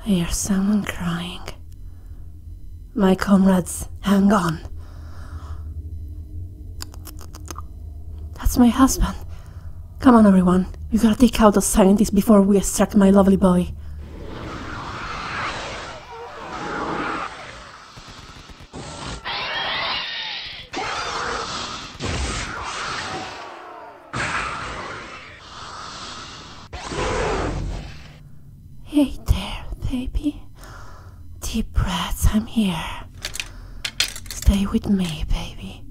I hear someone crying. My comrades, hang on. That's my husband. Come on, everyone. We gotta take out those scientists before we attack my lovely boy. Hey there, baby. Deep breaths, I'm here. Stay with me, baby.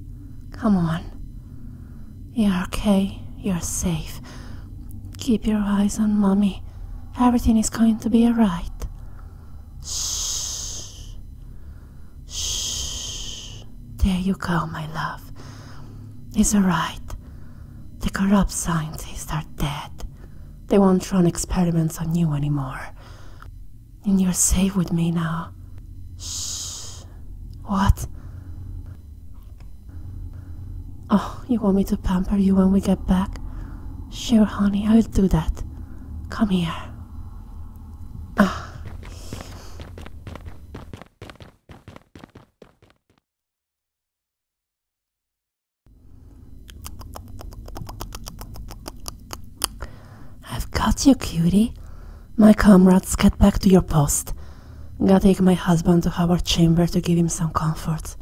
Come on. You're okay, you're safe. Keep your eyes on mommy. Everything is going to be alright. Shh. Shh. There you go, my love. It's alright. The corrupt scientists are dead. They won't run experiments on you anymore. And you're safe with me now. Shh. What? Oh, you want me to pamper you when we get back? Sure, honey, I'll do that. Come here. I've got you, cutie. My comrades, get back to your post. Gotta take my husband to Howard Chamber to give him some comfort.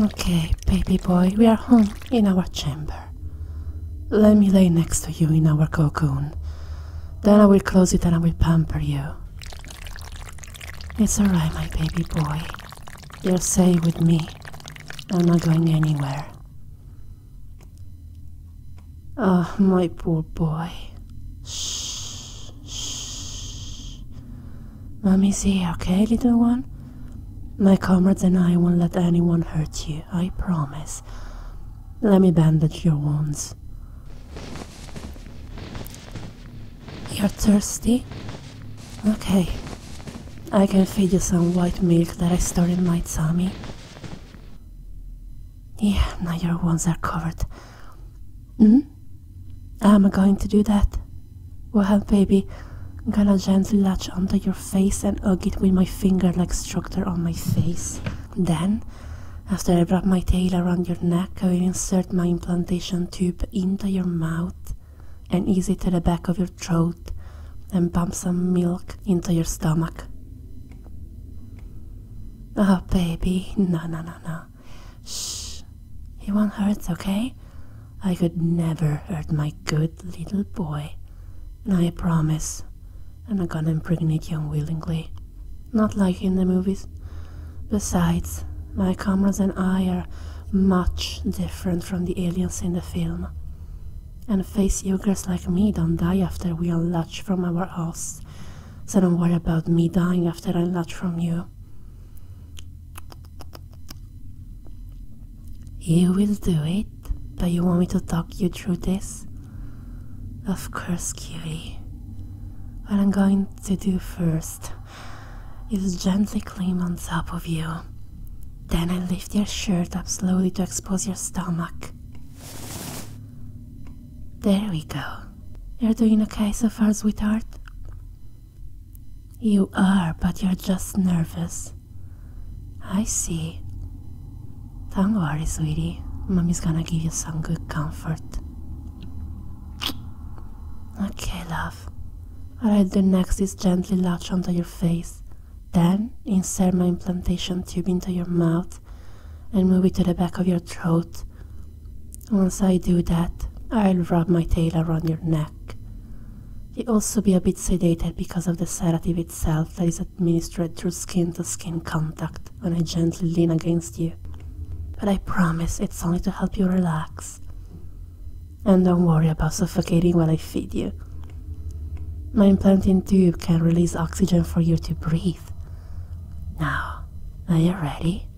Okay, baby boy, we are home in our chamber. Let me lay next to you in our cocoon. Then I will close it and I will pamper you. It's alright, my baby boy. You're safe with me. I'm not going anywhere. Ah, oh, my poor boy. Shh, shh. Mommy's see, okay, little one? My comrades and I won't let anyone hurt you, I promise. Let me bandage your wounds. You're thirsty? Okay. I can feed you some white milk that I stored in my tummy. Yeah, now your wounds are covered. Mm mm-hmm. hmm? I'm going to do that. Well, baby, I'm gonna gently latch onto your face and hug it with my finger-like structure on my face. Then, after I wrap my tail around your neck, I will insert my implantation tube into your mouth and ease it to the back of your throat and pump some milk into your stomach. Oh, baby, no, no, no, no. Shh, he won't hurt, okay? I could never hurt my good little boy. And I promise, I'm not gonna impregnate you unwillingly. Not like in the movies. Besides, my comrades and I are much different from the aliens in the film. And face yokers like me don't die after we are latched from our ass, so don't worry about me dying after I latch from you. You will do it, but you want me to talk you through this? Of course, cutie. What I'm going to do first is gently climb on top of you. Then I lift your shirt up slowly to expose your stomach. There we go. You're doing okay so far, sweetheart? You are, but you're just nervous. I see. Don't worry, sweetie. Mommy's gonna give you some good comfort. Okay, love. I'll do next is gently latch onto your face, then insert my implantation tube into your mouth and move it to the back of your throat. Once I do that, I'll wrap my tail around your neck. You'll also be a bit sedated because of the sedative itself that is administered through skin to -skin contact when I gently lean against you. But I promise it's only to help you relax. And don't worry about suffocating while I feed you. My implanting tube can release oxygen for you to breathe. Now, are you ready?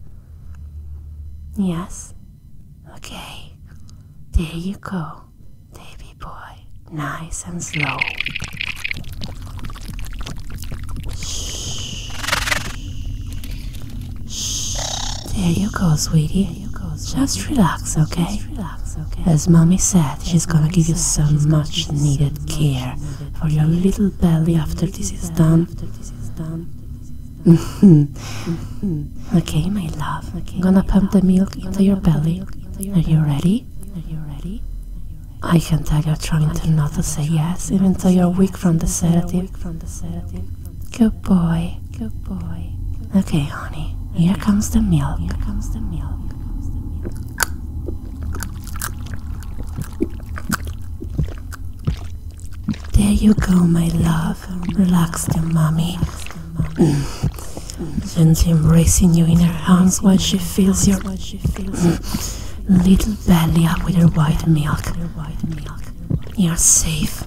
Yes? Okay. There you go, baby boy. Nice and slow. Shh. Shh. There you go, sweetie. You go, sweetie. Just relax, okay? relax, okay? As mommy said, she's gonna give you so much needed care for your little belly after this is done. Mm-hmm. okay, my love. gonna pump the milk into your belly. Are you ready? Are you ready? I can tell you're trying to not to say yes, even though you're weak from the sedative. Good boy. Good boy. Okay, honey. Here comes the milk. Here comes the milk. There you go, my love. Relax, dear mommy. Gently embracing you in her arms while she feels your she fills a little belly up with her white milk. You're safe.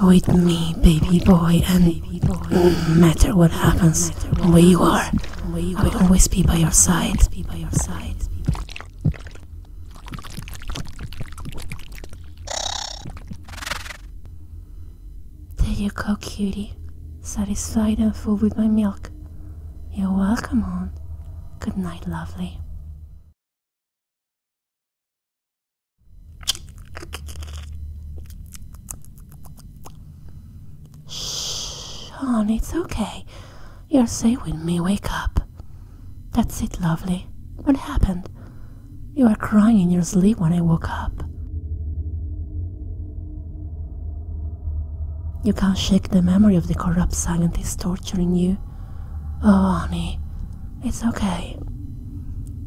With me, baby boy, and no matter what happens, where you are, I will always be by your side. There you go, cutie satisfied and full with my milk. You're welcome, Aunt. Good night, lovely. Shh, Aunt, it's okay. You're safe with me. Wake up. That's it, lovely. What happened? You were crying in your sleep when I woke up. You can't shake the memory of the corrupt scientist torturing you. Oh, honey, it's okay.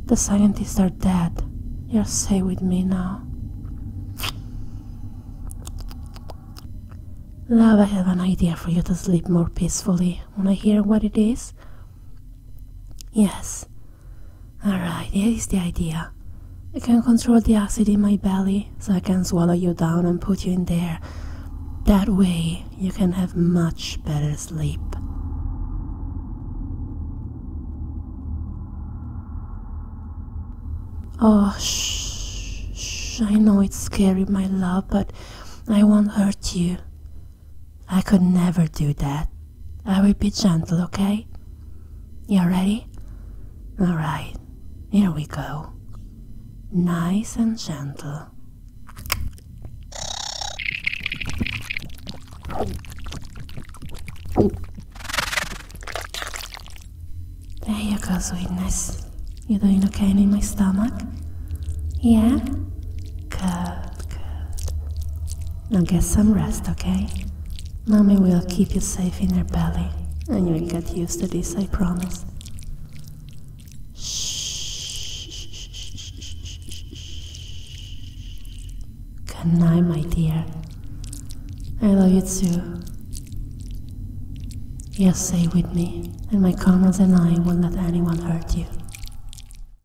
The scientists are dead. You're safe with me now. Love, I have an idea for you to sleep more peacefully. Wanna hear what it is? Yes, Alright, here's the idea. I can control the acid in my belly, so I can swallow you down and put you in there. That way, you can have much better sleep. Oh, shh, shh, I know it's scary, my love, but I won't hurt you. I could never do that. I will be gentle, okay? You ready? Alright, here we go. Nice and gentle. There you go, sweetness. You doing okay in my stomach? Yeah? Good. Now get some rest, okay? Mommy will keep you safe in her belly, and you'll get used to this, I promise. Good night, my dear. I love you too. you stay with me, and my comrades and I won't let anyone hurt you.